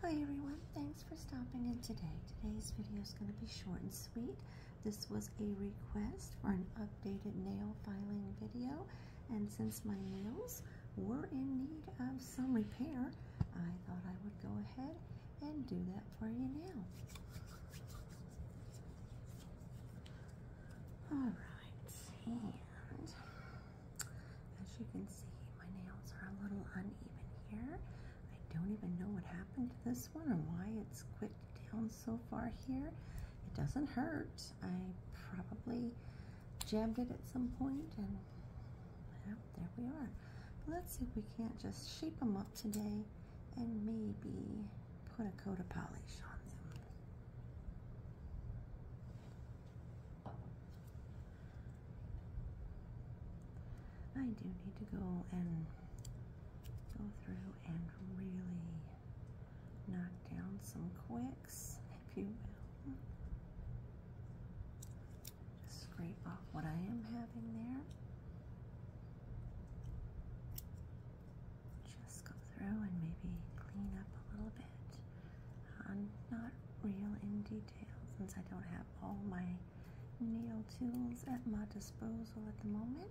Hi everyone, thanks for stopping in today. Today's video is going to be short and sweet. This was a request for an updated nail filing video and since my nails were in need of some repair, I thought I would go ahead and do that for you now. Alright, as you can see, my nails are a little uneven here. I don't even know what happened to this one or why it's quit down so far here. It doesn't hurt. I probably jammed it at some point and there we are. let's see if we can't just shape them up today and maybe put a coat of polish on them. I do need to go and go through and really knock down some quicks, if you will. Just scrape off what I am having there. Just go through and maybe clean up a little bit. I'm not real in since I don't have all my needle tools at my disposal at the moment.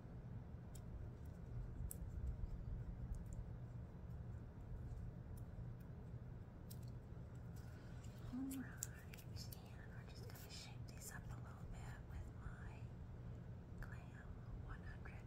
Alright, and we're just going to shape these up a little bit with my Glam 100 180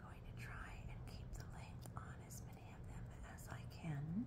Going to try and keep the length on as many of them as I can.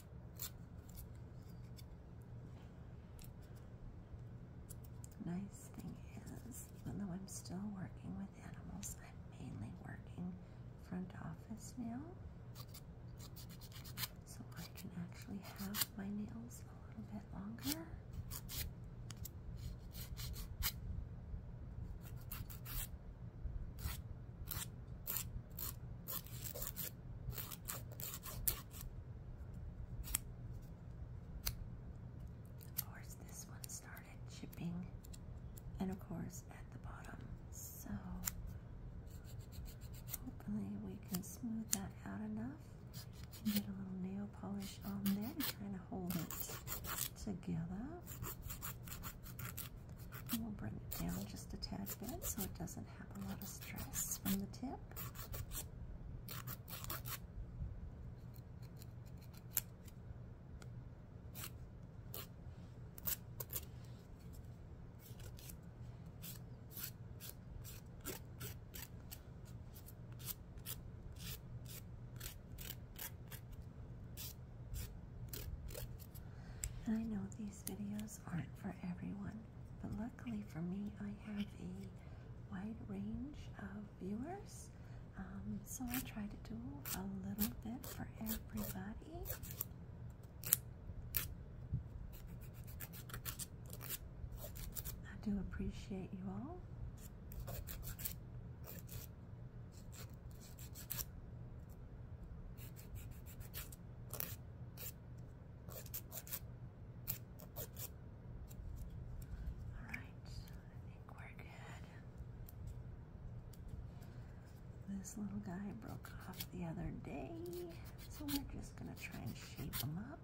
Nice thing is, although I'm still working with animals, I'm mainly working front office now. So I can actually have my nails a little bit longer. Of course, this one started shipping, and of course, at the bottom. So, hopefully, we can smooth that out enough. And get a little nail polish on there to kind of hold it together. And we'll bring it down just a tad bit so it doesn't stress from the tip. I know these videos aren't for everyone, but luckily for me, I have a wide range of viewers, um, so I try to do a little bit for everybody. I do appreciate you all. All right, I think we're good. This little guy broke off the other day, so we're just going to try and shape him up.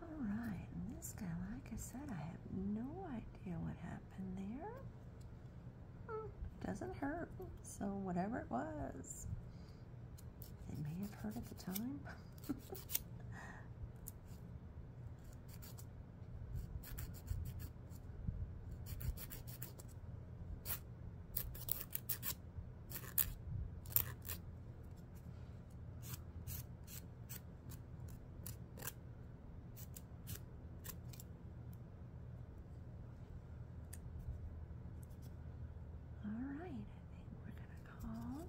All right, this guy, like I said, I have no idea what happened there. It hmm, doesn't hurt, so whatever it was, it may have hurt at the time. All right, I think we're going to call.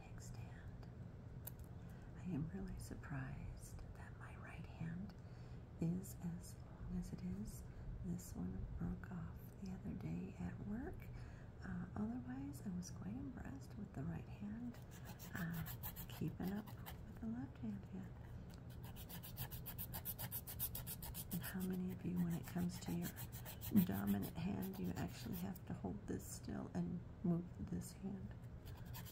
pig stand. I am really surprised that my right hand is as long as it is. This one broke off the other day at work. Uh, otherwise, I was quite impressed with the right hand uh, keeping up with the left hand. Yeah. how many of you, when it comes to your dominant hand, you actually have to hold this still and move this hand. Perfect.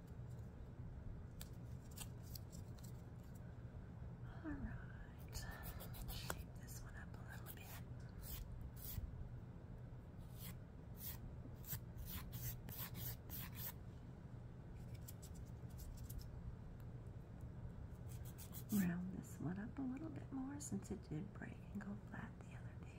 All right, shape this one up a little bit. Round this one up a little bit more since it did break and go flat the other day.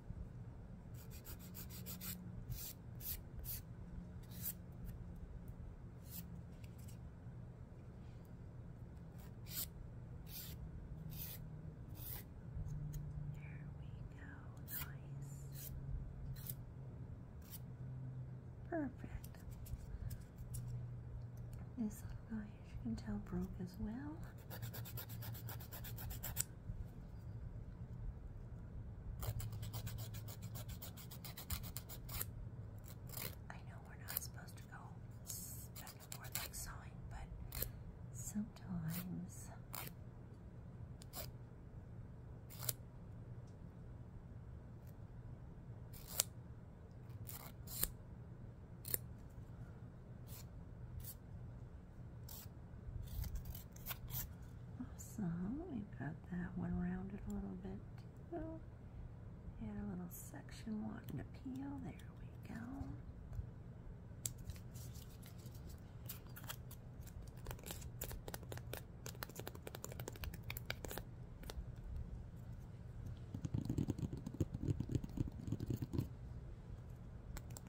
nice. Perfect. This little guy, as you can tell, broke as well. I know we're not supposed to go back and forth like sawing, but sometimes Awesome. We've got that one rounded a little bit too. Add a little section wanting to peel. There we go.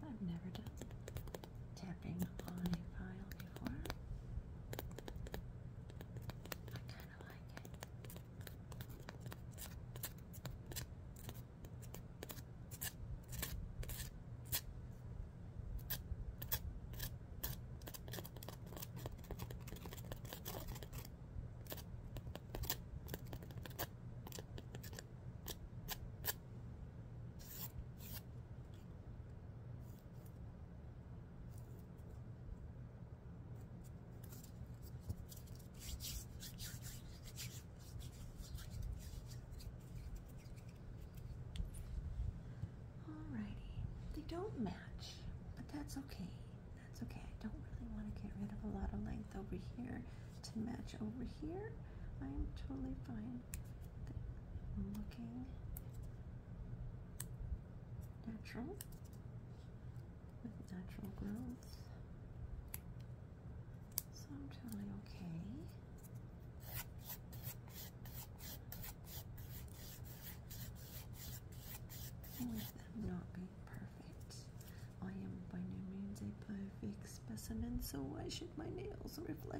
I've never done tapping on a file before. I kind of like it. Alrighty, they don't match, but that's okay. That's okay. I don't really want to get rid of a lot of length over here to match over here. I'm totally fine looking natural with natural growth. So I'm totally okay. With them not being perfect. I am by no means a perfect specimen, so why should my nails reflect?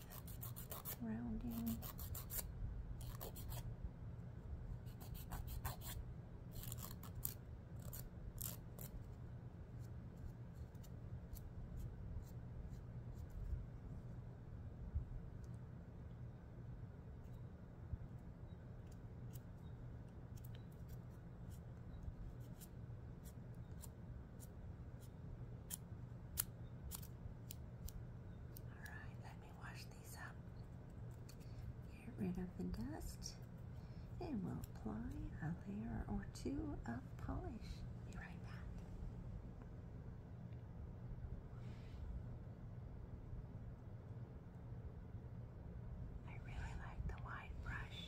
rounding. All right, let me wash these up. Get rid of the dust, and we'll apply a layer or two of polish. Be right back. I really like the wide brush.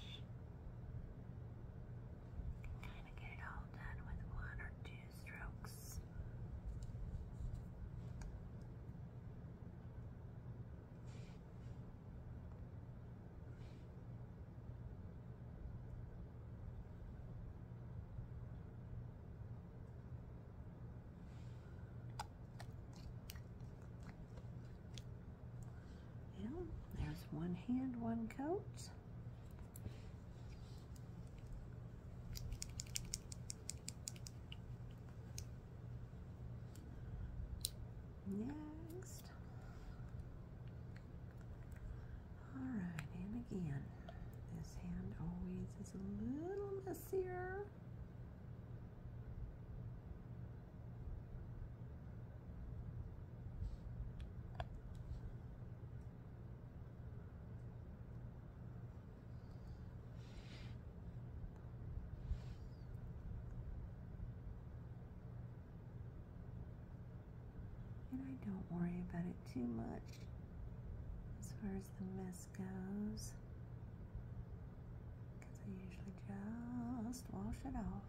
can kind of get it all done with one or two strokes. there's one hand, one coat. Next. All right, and again, this hand always is a little messier. And I don't worry about it too much as far as the mess goes because I usually just wash it off.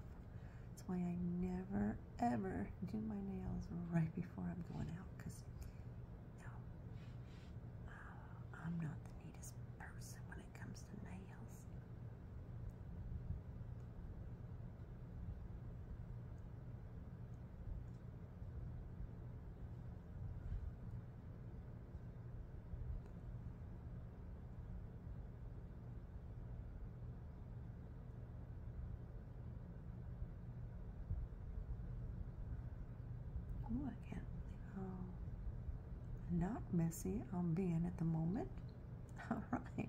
That's why I never ever do my nails right before I'm going out because uh, I'm not the neatest person when it comes to nails. Oh, I um, not messy I'm being at the moment. All right.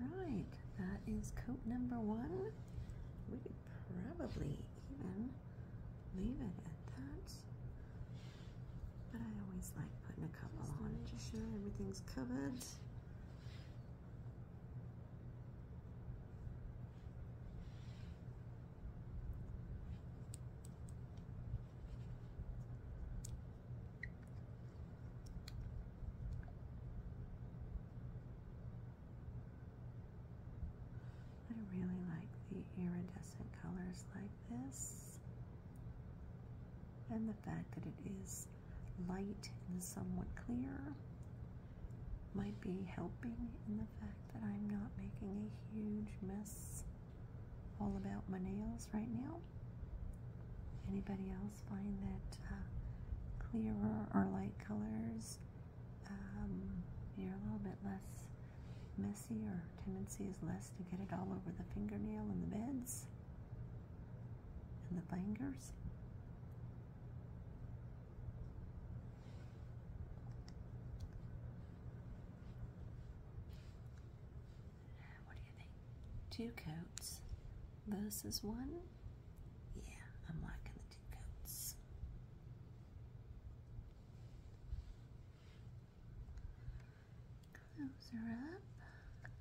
Alright, that is coat number one. We could probably even leave it at that. But I always like putting a couple on, just sure everything's covered. I really like the iridescent colors like this and the fact that it is light and somewhat clear might be helping in the fact that I'm not making a huge mess all about my nails right now. Anybody else find that uh, clearer or light colors, um, you're a little bit less messy or tendency is less to get it all over the fingernail and the beds? and the fingers. What do you think? Two coats versus one? Yeah, I'm liking the two coats. Close her up,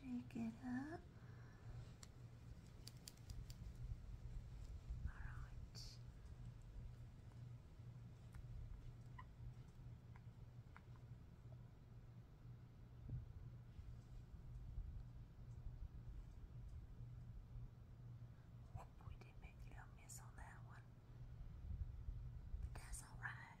shake it up. Alright. Whoop, we did make a little miss on that one. But that's alright.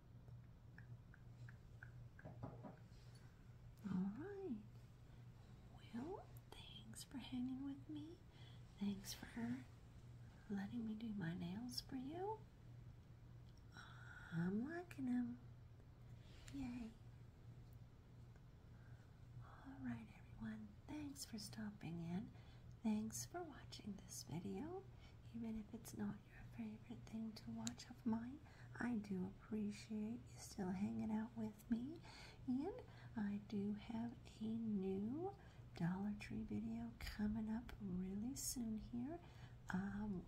All right. Well, thanks for hanging with me. Thanks for letting me do my nails for you. I'm liking them. Yay. All right, everyone. Thanks for stopping in. Thanks for watching this video, even if it's not your favorite thing to watch of mine. I do appreciate you still hanging out with me, and I do have a new Dollar Tree video coming up really soon here. Um,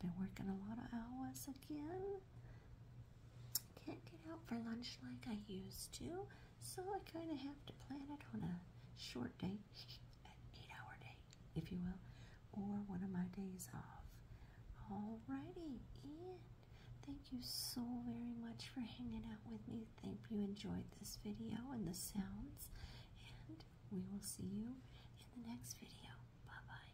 been working a lot of hours again. Can't get out for lunch like I used to, so I kind of have to plan it on a short day, an eight-hour day if you will, or one of my days off. Alrighty, and thank you so very much for hanging out with me. Thank you enjoyed this video and the sounds, and we will see you in the next video. Bye bye.